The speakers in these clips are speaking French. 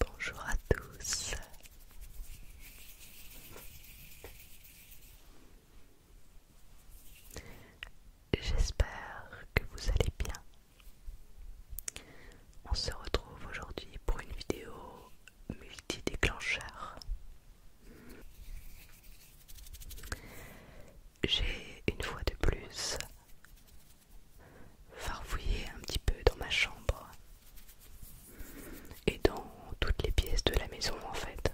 Bonjour à tous. J'espère que vous allez bien. On se retrouve aujourd'hui pour une vidéo multi-déclencheur. J'ai une fois de plus farfouiller un petit peu dans ma chambre et dans toutes les pièces de la maison en fait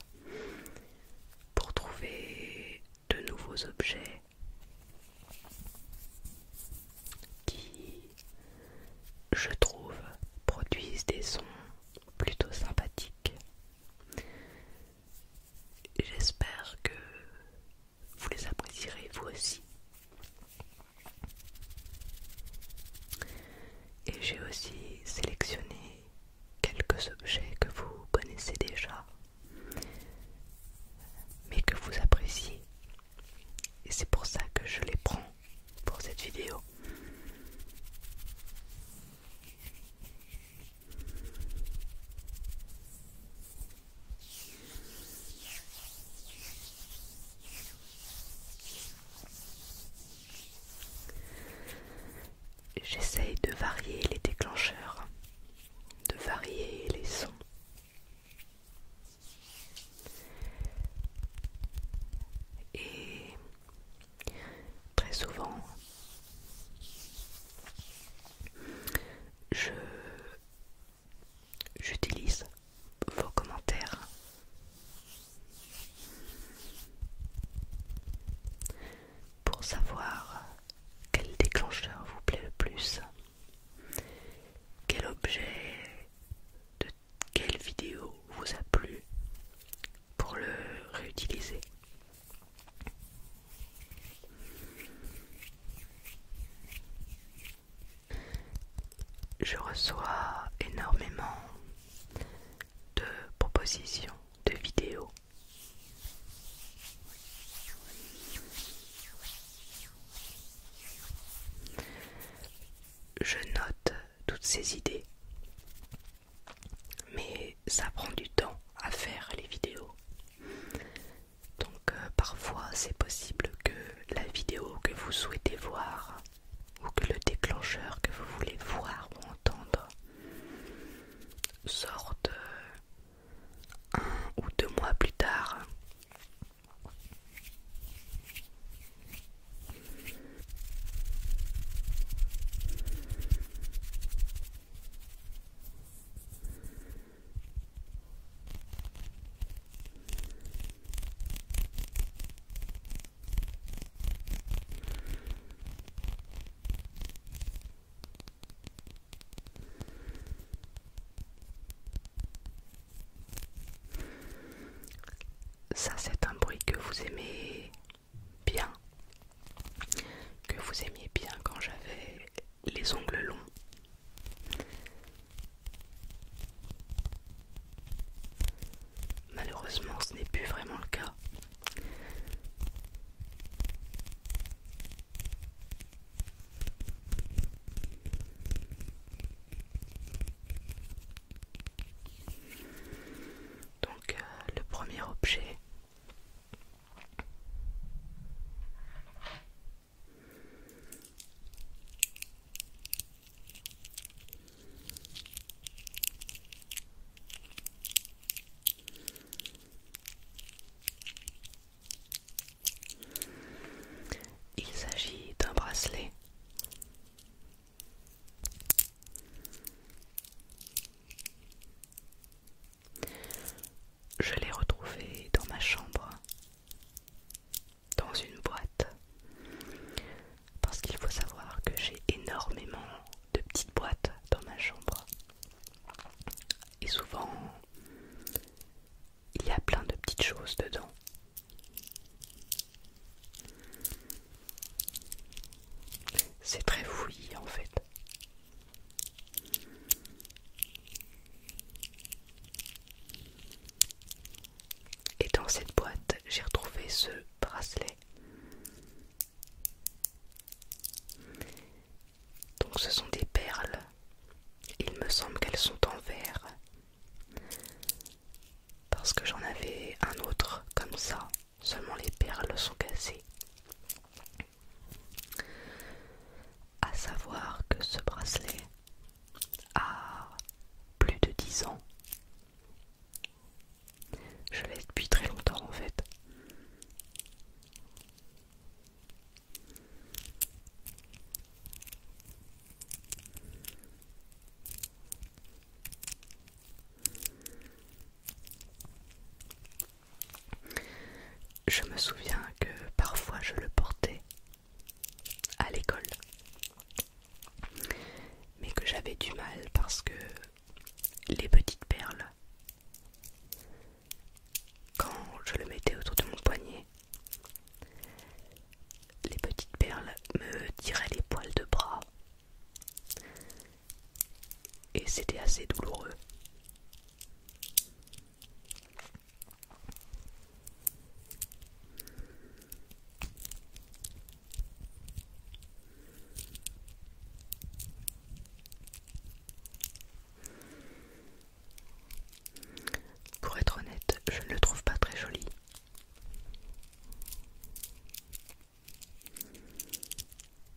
pour trouver de nouveaux objets qui je trouve produisent des sons plutôt sympathiques. J'espère que vous les apprécierez vous aussi. Et j'ai aussi sélectionné quelques objets que vous connaissez déjà, mais que vous appréciez. Et c'est pour ça que je les prends pour cette vidéo. J'essaye de varier les déclencheurs, de varier les sons. Et très souvent, je j'utilise vos commentaires pour savoir quel déclencheur vous plaît le plus, quel objet de quelle vidéo vous a plu pour le réutiliser je reçois énormément de propositions de vidéos. Je note toutes ces idées, mais ça prend du temps à faire les vidéos. Donc euh, parfois c'est possible que la vidéo que vous souhaitez voir ou que le déclencheur que vous voulez voir ou entendre sorte euh, un ou deux mois plus tard. Ça c'est un bruit que vous aimez bien, que vous aimiez bien quand j'avais les ongles longs. Malheureusement, ce n'est plus vraiment le cas. Donc euh, le premier objet il s'agit d'un bracelet. Je l'ai retrouvé dans ma chambre, dans une boîte. Parce qu'il faut savoir que j'ai énormément de petites boîtes dans ma chambre. Et souvent, il y a plein de petites choses dedans. C'est très fouillis en fait. Et dans cette boîte, j'ai retrouvé ce bracelet. Donc ce sont des perles. Il me semble qu'elles sont en verre. Parce que j'en avais un autre comme ça. Seulement les perles sont cassées. À savoir que ce bracelet a plus de 10 ans. Je l'ai depuis très longtemps en fait. Je me souviens que parfois je le portais à l'école, mais que j'avais du mal parce que les petites perles, quand je le mettais autour de mon poignet, les petites perles me tiraient les poils de bras et c'était assez douloureux. Pour être honnête, je ne le trouve pas très joli.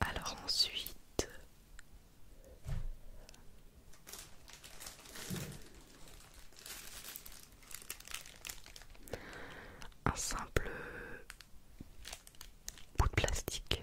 Alors ensuite, un simple bout de plastique.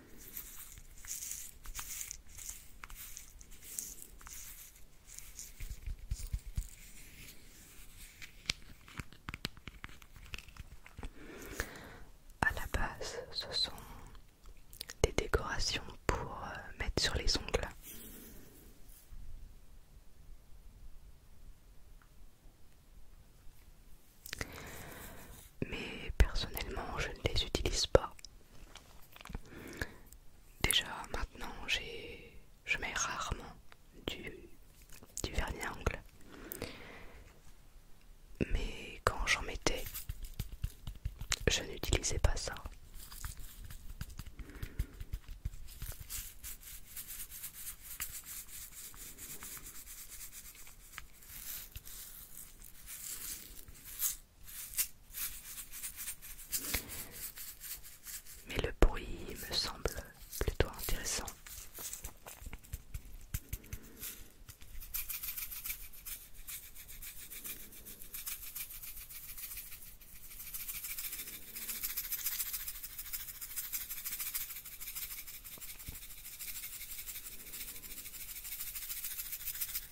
À la base, ce sont des décorations pour euh, mettre sur les ongles mais personnellement je ne les utilise pas. Déjà maintenant je mets rarement du, du vernis Mais quand j'en mettais, je n'utilisais pas ça. Mais le bruit me semble plutôt intéressant.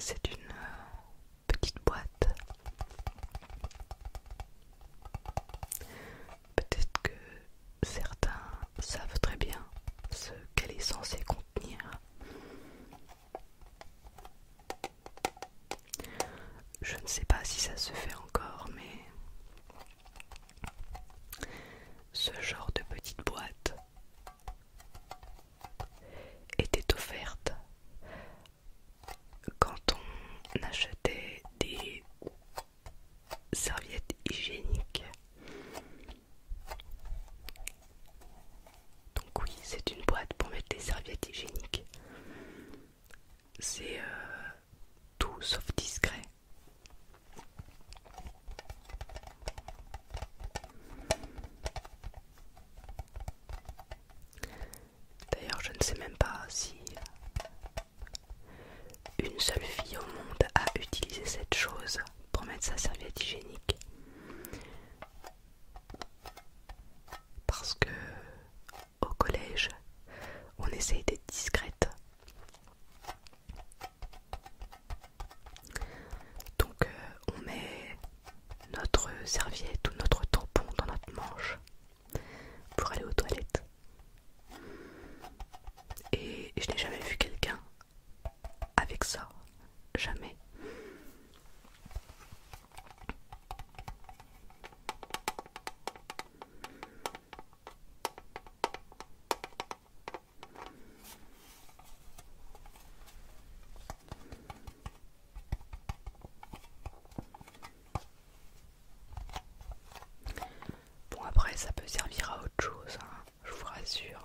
C'est une euh, petite boîte Peut-être que certains savent très bien ce qu'elle est censée contenir. Je ne sais pas si ça se fait encore, mais ce genre de petite boîte était offerte quand on achetait des serviettes hygiéniques. Donc oui, c'est une boîte pour mettre des serviettes hygiéniques. C'est euh, tout sauf discret. D'ailleurs, je ne sais même pas si une seule fille au monde a utilisé cette chose pour mettre sa serviette hygiénique. Parce que au collège, on essaye d'être discrète. Donc euh, on met notre serviette ou notre tampon dans notre manche pour aller aux toilettes. Et je n'ai jamais vu quelqu'un avec ça. Jamais. Bon après ça peut servir à autre chose, hein, je vous rassure.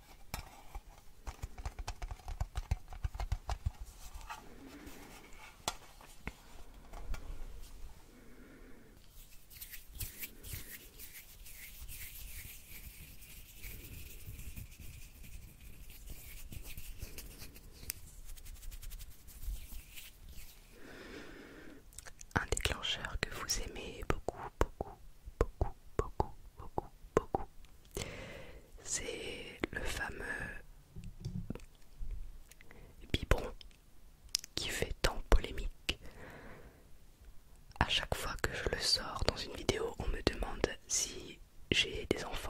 Un déclencheur que vous aimez beaucoup, beaucoup, beaucoup, beaucoup, beaucoup, beaucoup c'est le fameux biberon qui fait tant polémique. À chaque fois que je le sors dans une vidéo, on me demande si j'ai des enfants.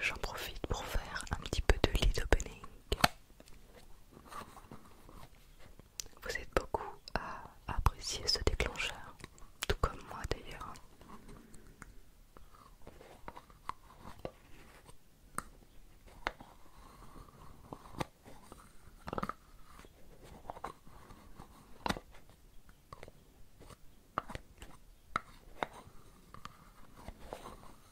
J'en profite pour faire un petit peu de lead opening. Vous êtes beaucoup à apprécier ce déclencheur, tout comme moi d'ailleurs.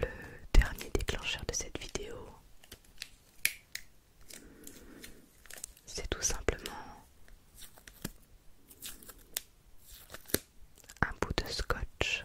Le dernier déclencheur de cette vidéo, c'est tout simplement un bout de scotch.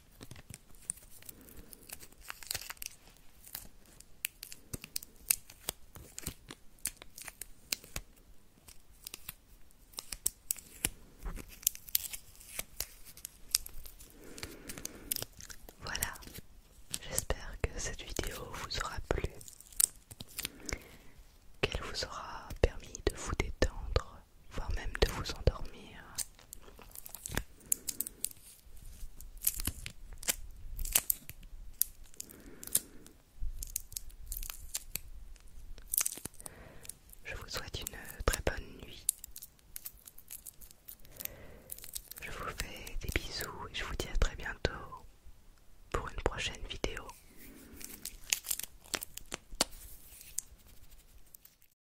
Voilà, j'espère que cette vidéo vous aura plu, qu'elle vous aura permis de vous détendre voire même de vous endormir. Je vous souhaite une très bonne nuit. Je vous fais des bisous et je vous dis à très bientôt pour une prochaine vidéo.